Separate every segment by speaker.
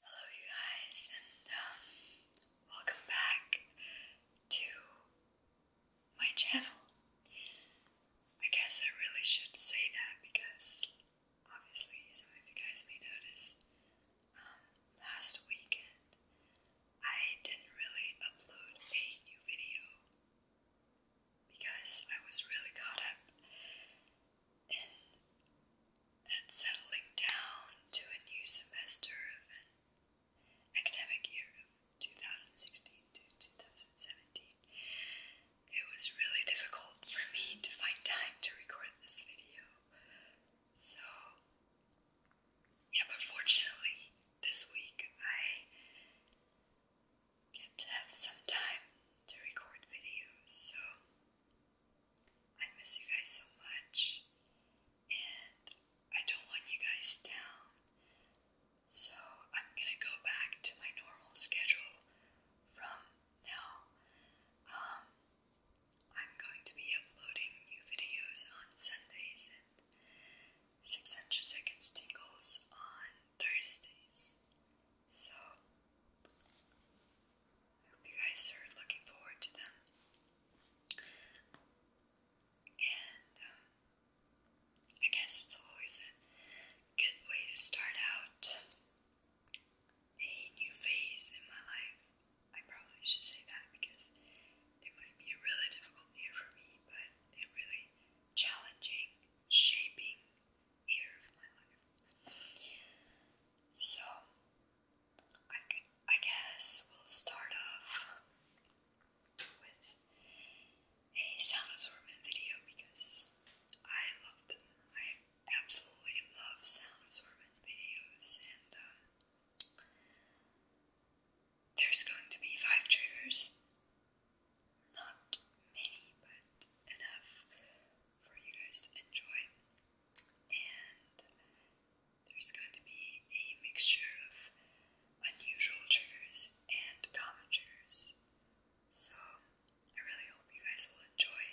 Speaker 1: Hello, you guys, and um, welcome back to my channel. I guess I really should say that because obviously, some of you guys may notice um, last weekend I didn't really upload a new video because I was really caught up and settling down to a new semester of academic year of 2016 to 2017. It was really difficult for me to find time to record this video. So, yeah, but fortunately, this week I get to have some time to record videos, so I miss you guys so much, and I don't want you guys down. So I'm gonna go back to my normal schedule from now. Um, I'm going to be uploading new videos on Sundays and 600 Seconds Tingles on Thursdays. So, I hope you guys are looking forward to them. And um, I guess it's always a good way to start out a new phase in my life. I probably should say that because it might be a really difficult year for me, but a really challenging, shaping year of my life. So, I, guess we'll start off with a Soundosaurman video because I love I absolutely love Soundosaurman videos, and uh, there's going to be five triggers. Not many, but enough for you guys to enjoy. And there's going to be a mixture of unusual triggers and common triggers. So I really hope you guys will enjoy.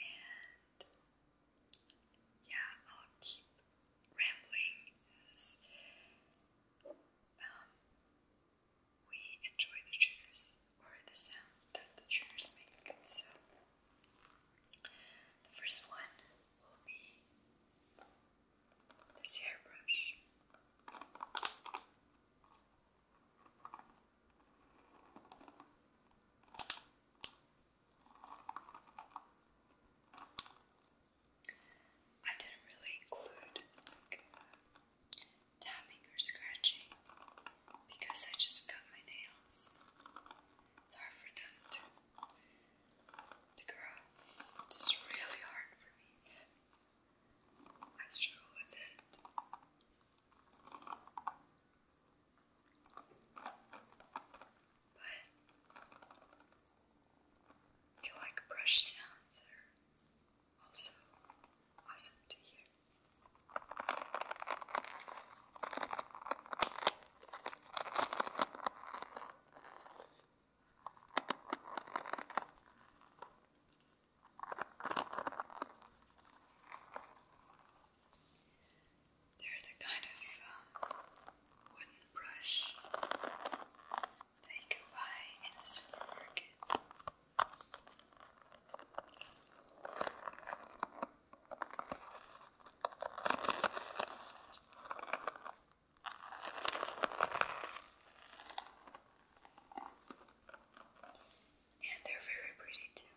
Speaker 1: And yeah, I'll keep rambling as um, we enjoy the triggers or the sound that the triggers make. So, the first one will be this hairbrush. I didn't really include uh, tapping or scratching because I just cut my nails. It's hard for them to, to grow. It's really hard for me. I struggle with it. But feel like brush sounds are also awesome to hear. They're the kind of um, wooden brush that you can buy in a supermarket. And they're very pretty too.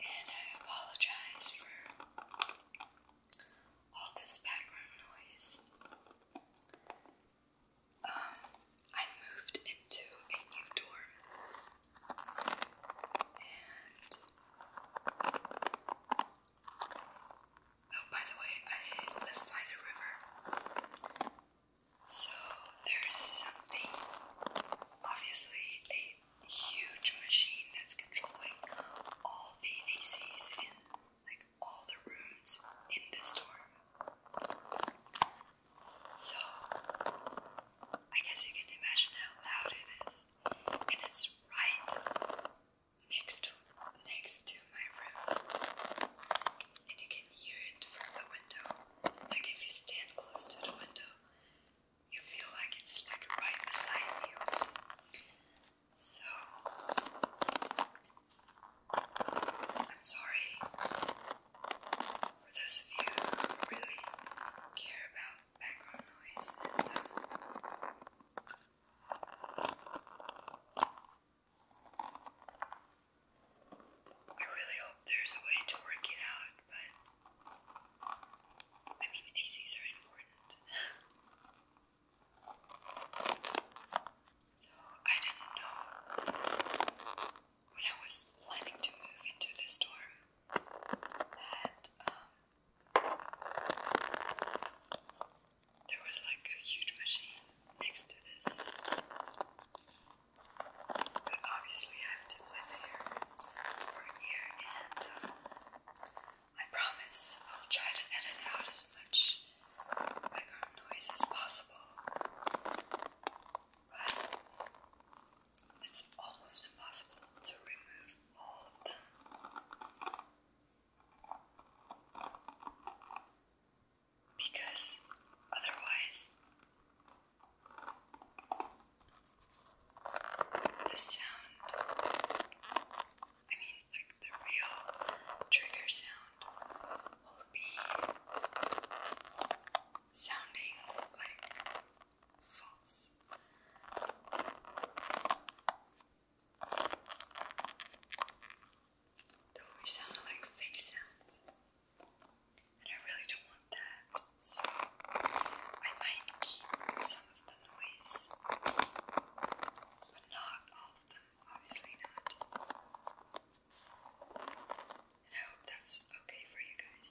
Speaker 1: And I apologize for all this background noise. Um, I moved into a new dorm. And oh, by the way, I live by the river. So there's something, obviously, a huge machine that's controlling all the ACs in like all the rooms in this dorm. So I guess you can imagine how loud it is. And it's right next next to my room. And you can hear it from the window. Like if you stand close to the window, you feel like it's like right beside you. So I'm sorry for those of you who really care about background noise um, I really hope there's a way to work it out, but I mean, ACs are important. so I didn't know when I was planning to move into this dorm that um, there was like a huge machine next to this. But obviously, I have to live here for a year, and um, I promise I'll try to edit out as much background noise as possible. But it's almost impossible to remove all of them. Because otherwise, the sound, I mean, like the real trigger sound, will be sounding like false. Though sound like fake sounds and I really don't want that, so I might keep some of the noise, but not all of them, obviously not. And I hope that's okay for you guys.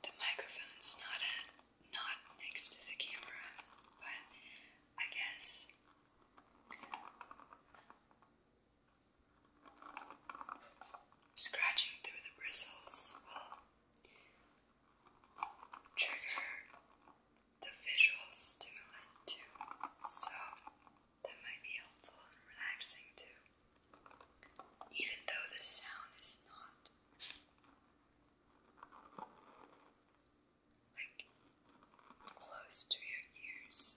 Speaker 1: The microphone's not not next to the camera, but I guess scratching through the bristles will trigger the visual stimulant too, so that might be helpful and relaxing too. Even though the sound is not like close to your ears.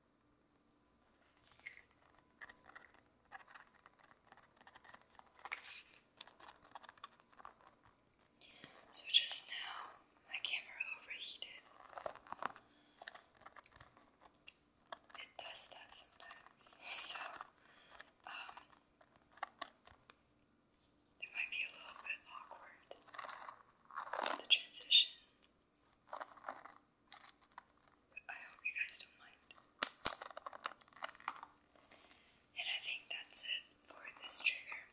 Speaker 1: So just now my camera overheated. It does that sometimes. So um, it might be a little bit awkward the transition but I hope you guys don't mind. And I think that's it for this trigger.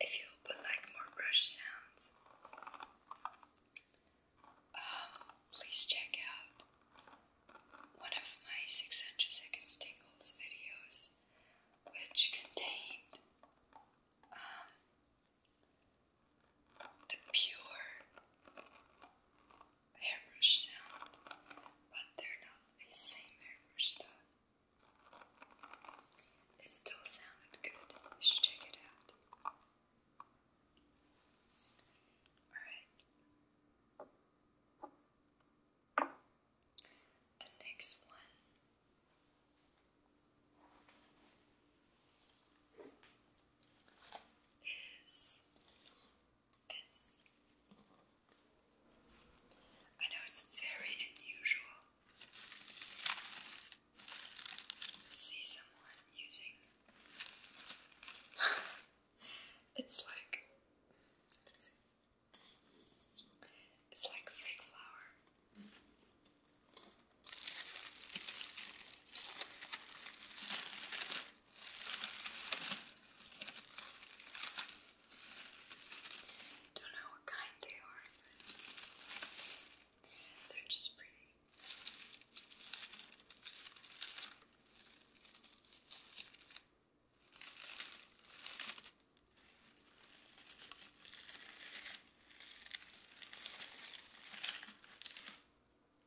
Speaker 1: If you like more brush sounds, um, please check out one of my 600 Seconds Tingles videos, which contained um, the pure hairbrush sound, but they're not the same hairbrush though. It still sounded good. You should check it out. Alright. The next one is this. I know it's very unusual see someone using. it's like it's like fake flower. Don't know what kind they are, but they're just pretty.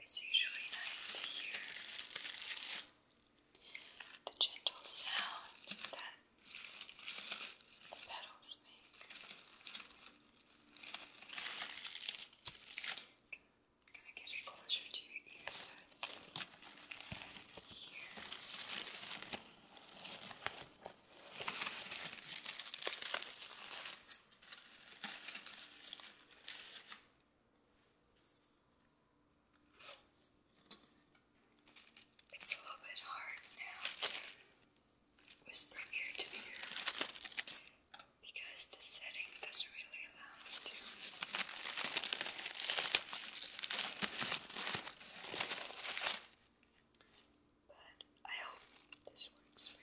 Speaker 1: It's usually nice to hear the gentle sound that the petals make. gonna get it closer to your ear so I can hear. It's a little bit hard now to whisper ear to ear because the setting doesn't really allow me to. But I hope this works for you.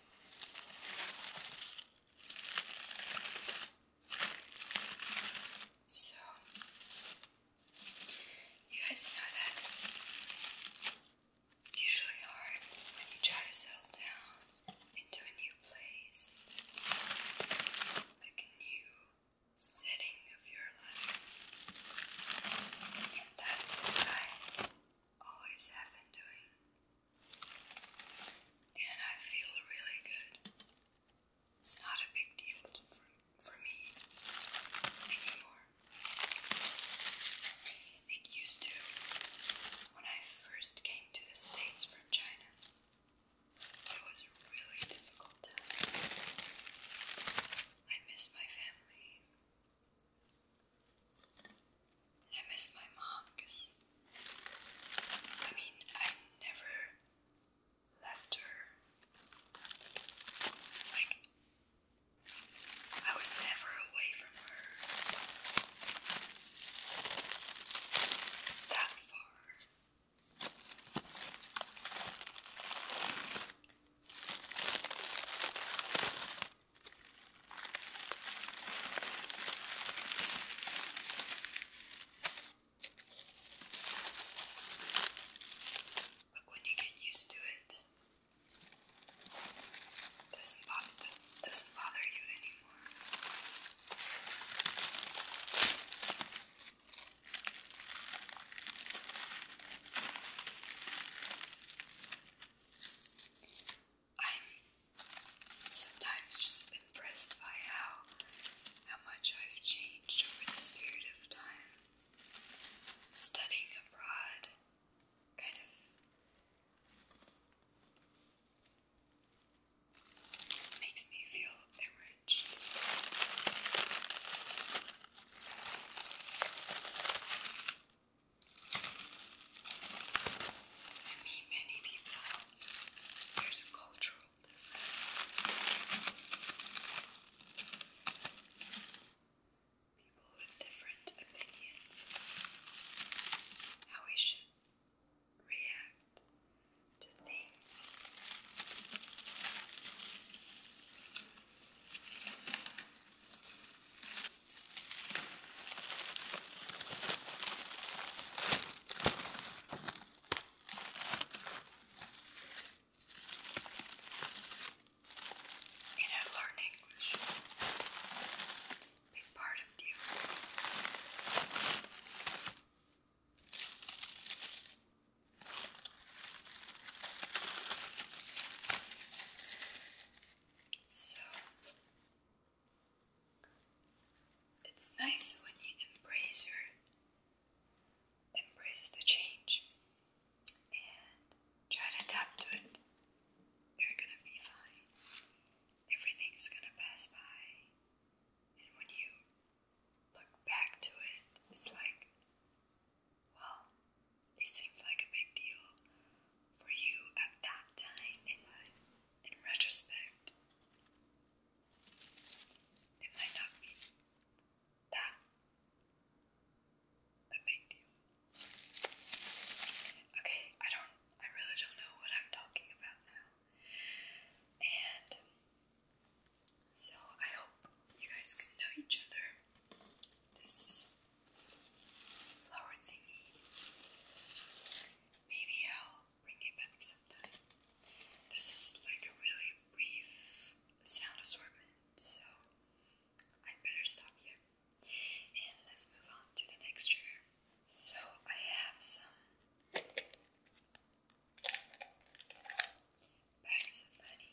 Speaker 1: So, you guys know that it's usually hard when you try to settle down into a new place, like a new setting of your life. And that's why always have been doing. And I feel really good. It's not a big deal for, for me anymore. It used to when I first came to the States from China. It was a really difficult time. I miss my family. I miss my mom because, I mean, I never left her. Like, I was never away from her that far. But when you get used to it, it doesn't bother, it doesn't bother you anymore. I'm sometimes just impressed by how how much I've changed over this period of time. Studying abroad kind of makes me feel enriched. I mean, many people, there's cultural difference. People with different opinions, how we should react to things. You know, learn English. Big part of you. So it's nice when you embrace your embrace the change and try to adapt to it. You're gonna be fine. Everything's gonna pass by. And when you look back to it, it's like, well, it seems like a big deal for you at that time, in retrospect, it might not be that big deal. Okay, I don't, I really don't know what I'm talking about now. And so I hope you guys can know each other. This flower thingy. Maybe I'll bring it back sometime. This is like a really brief sound assortment, so I'd better stop here. And let's move on to the next trigger. So I have some bags of honey.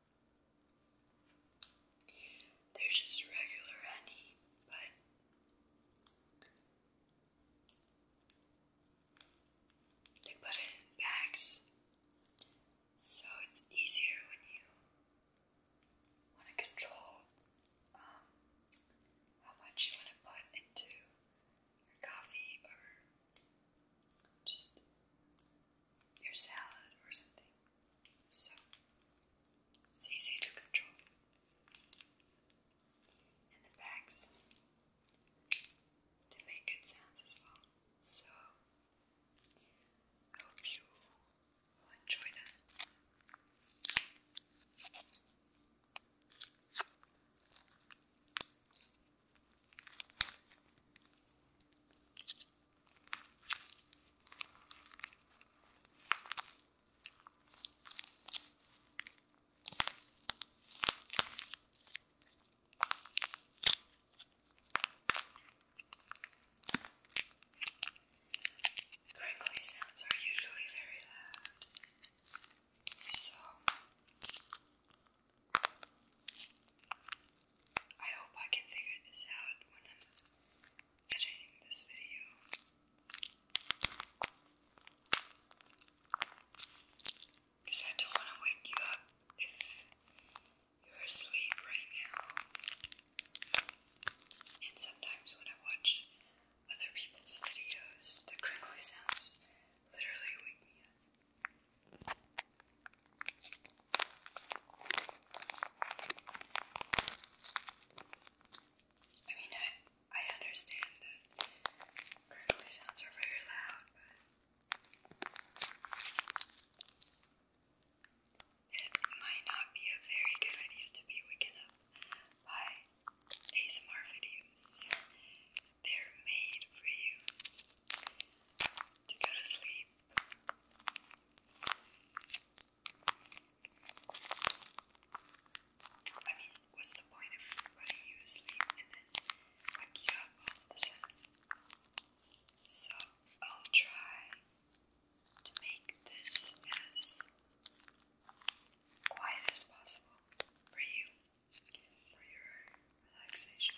Speaker 1: They're just regular honey, but they put it in bags so it's easier when you want to control um, how much you want to put into your coffee or just your salad or something. So it's easy to control. And the bags, they make good sounds as well. So I hope you will enjoy them. Crinkly sounds are usually very loud, so I hope I can figure this out when I'm editing this video. Because I don't want to wake you up if you're asleep right now. And sometimes when I watch other people's videos, the crinkly sounds literally wake me up. I mean, I, I understand that crinkly sounds are very loud, but it might not be a very good idea to be waken up by ASMR videos. They're made for you to go to sleep I mean, what's the point of putting you to sleep and then wake you up all of a sudden? So I'll try to make this as quiet as possible for you, for your relaxation.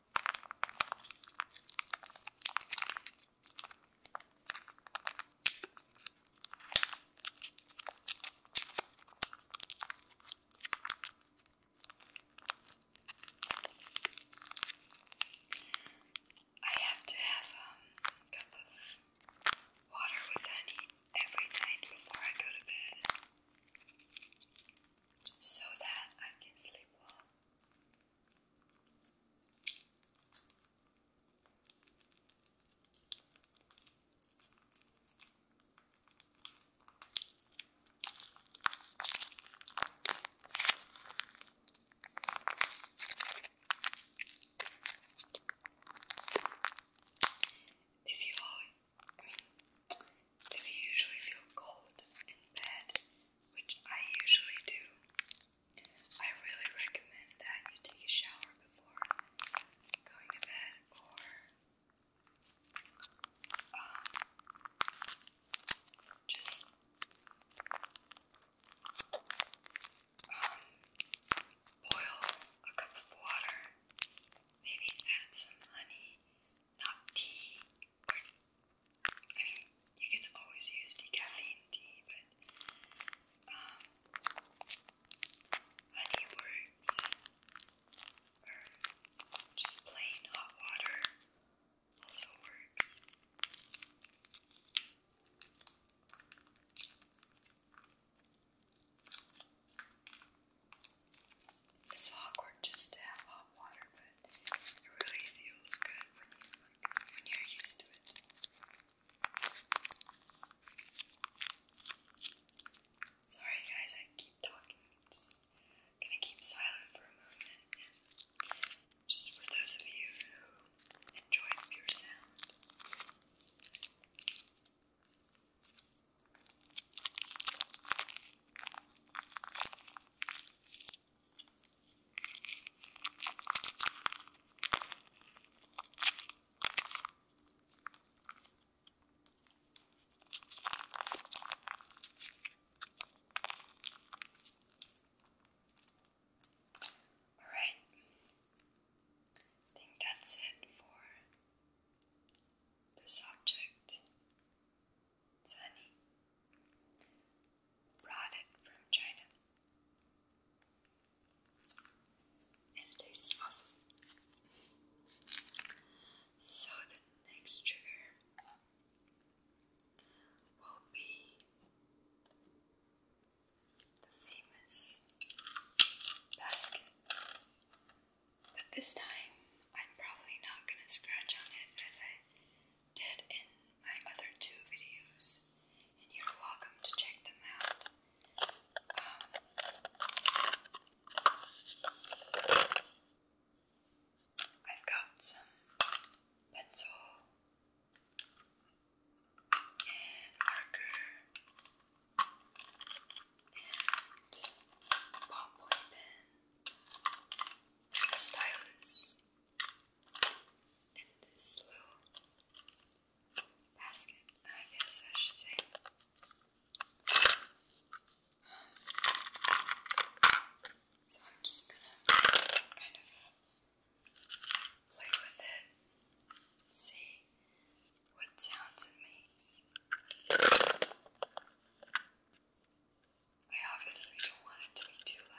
Speaker 1: I have to have um, a cup of water with honey every night before I go to bed so that I can sleep well. If you I mean, if you usually feel cold in bed, which I usually do. I really recommend that you take a shower before going to bed or um, just um, boil a cup of water, maybe add some honey, not tea. I mean, you can always use decaffeine tea, but um, honey works, or just plain hot water also works. It's awkward just to have hot water, but but it really feels good when you are used to it. Sorry guys, I keep talking. gonna keep silent for a moment. Just for those of you who enjoy pure sound. Alright, I think that's it for this object. It's honey. Brought it from China. And it tastes awesome. So the next trigger will be the famous basket. But this time I'm probably not gonna scratch on it as I did in my other two videos, and you're welcome to check them out. Um, I've got some pencil and marker and ballpoint pen, a stylus, in this little basket, I guess I should say. So I'm just gonna kind of play with it, see what sounds it makes. I obviously don't want it to be too loud.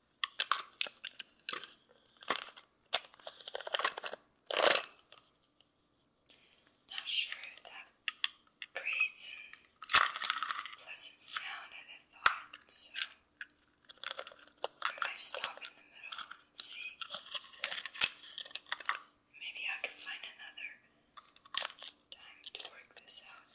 Speaker 1: Not sure if that creates a pleasant sound, I thought, so I might stop in the middle and see. Maybe I can find another time to work this out.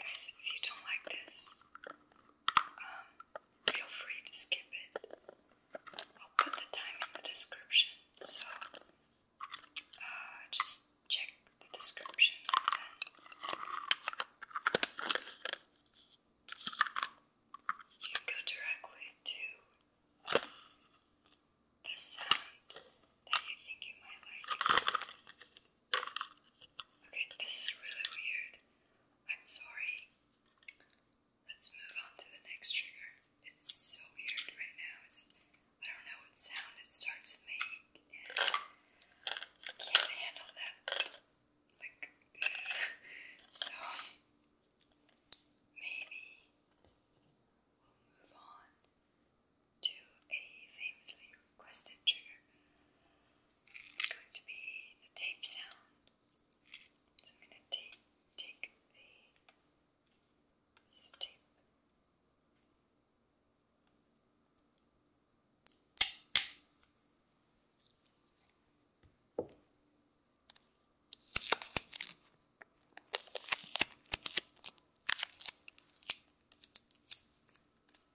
Speaker 1: Guys, if you don't like this, um, feel free to skip it. I'll put the time in the description, so uh, just check the description and then you can go directly to the sound that you think you might like. Okay, this is really weird. I'm sorry. Let's move on to the next trigger. It's so weird right now. It's I don't know what sound it starts to can't handle that. Like so maybe we'll move on to a famously requested trigger. It's going to be the tape sound. So I'm going to tape, take a piece of Tape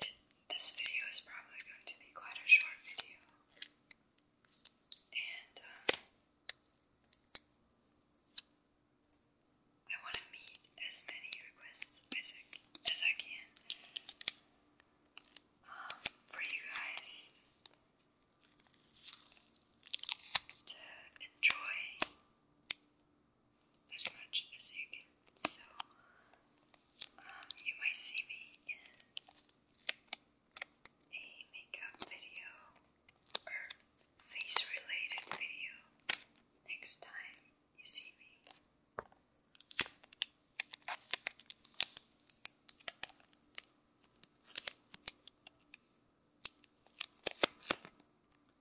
Speaker 1: It, this video is probably going to be quite a short video, and um, I want to meet as many requests as I, as I can um, for you guys to enjoy as much as you can. So, um, you might see me in a makeup video or face related video next time you see me.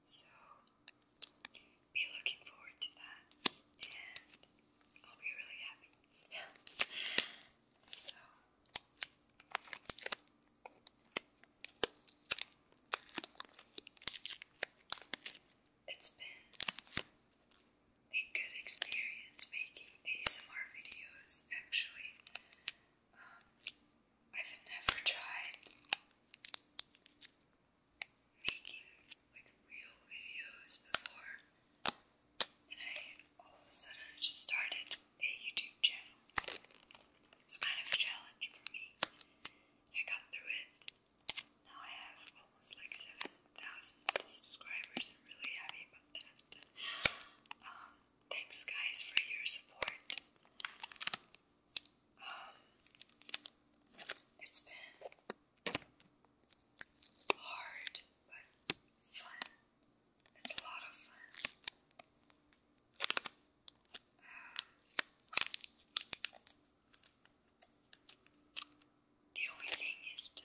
Speaker 1: So be looking forward to that, and I'll be really happy. so it's been a good experience making ASMR videos. Actually, um, I've never tried making like real videos before, and I all of a sudden just started a YouTube channel. It was kind of a challenge for me. I got through it. Now I have almost like seven thousand subscribers. I'm really happy about that. Um, thanks guys for your support. Um, it's been hard, but fun. It's a lot of fun. the only thing is to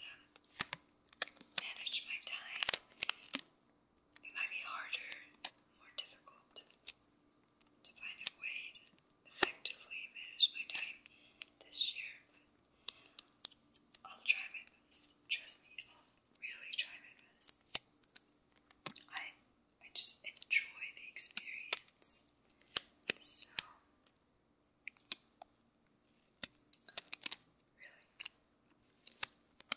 Speaker 1: manage my time. It might be harder, more difficult to find a way to effectively manage my time this year, I'll try my best. Trust me, I'll really try my best. I I just enjoy the experience. So really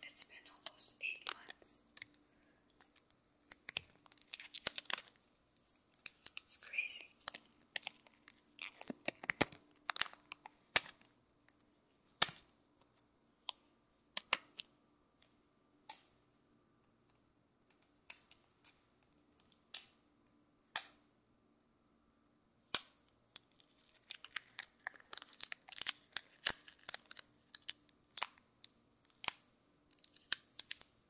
Speaker 1: it's been almost eight months it's crazy.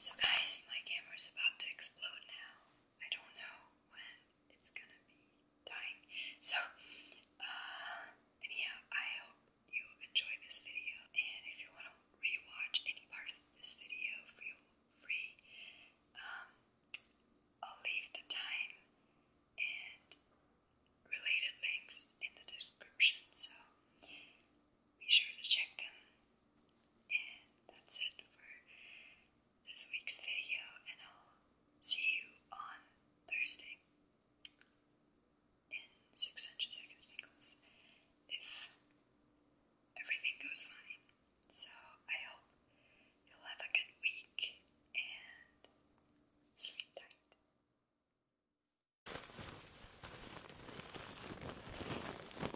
Speaker 1: So, guys, my camera is about to explode now. I don't know when it's gonna be dying. So, uh, anyhow, I hope you enjoy this video. And if you wanna rewatch any part of this video, feel free. Um, I'll leave the time and related links in the description. So be sure to check them. And that's it for this week's video, and I'll see you on Thursday in six inches if everything goes fine. So I hope you'll have a good week and sleep tight.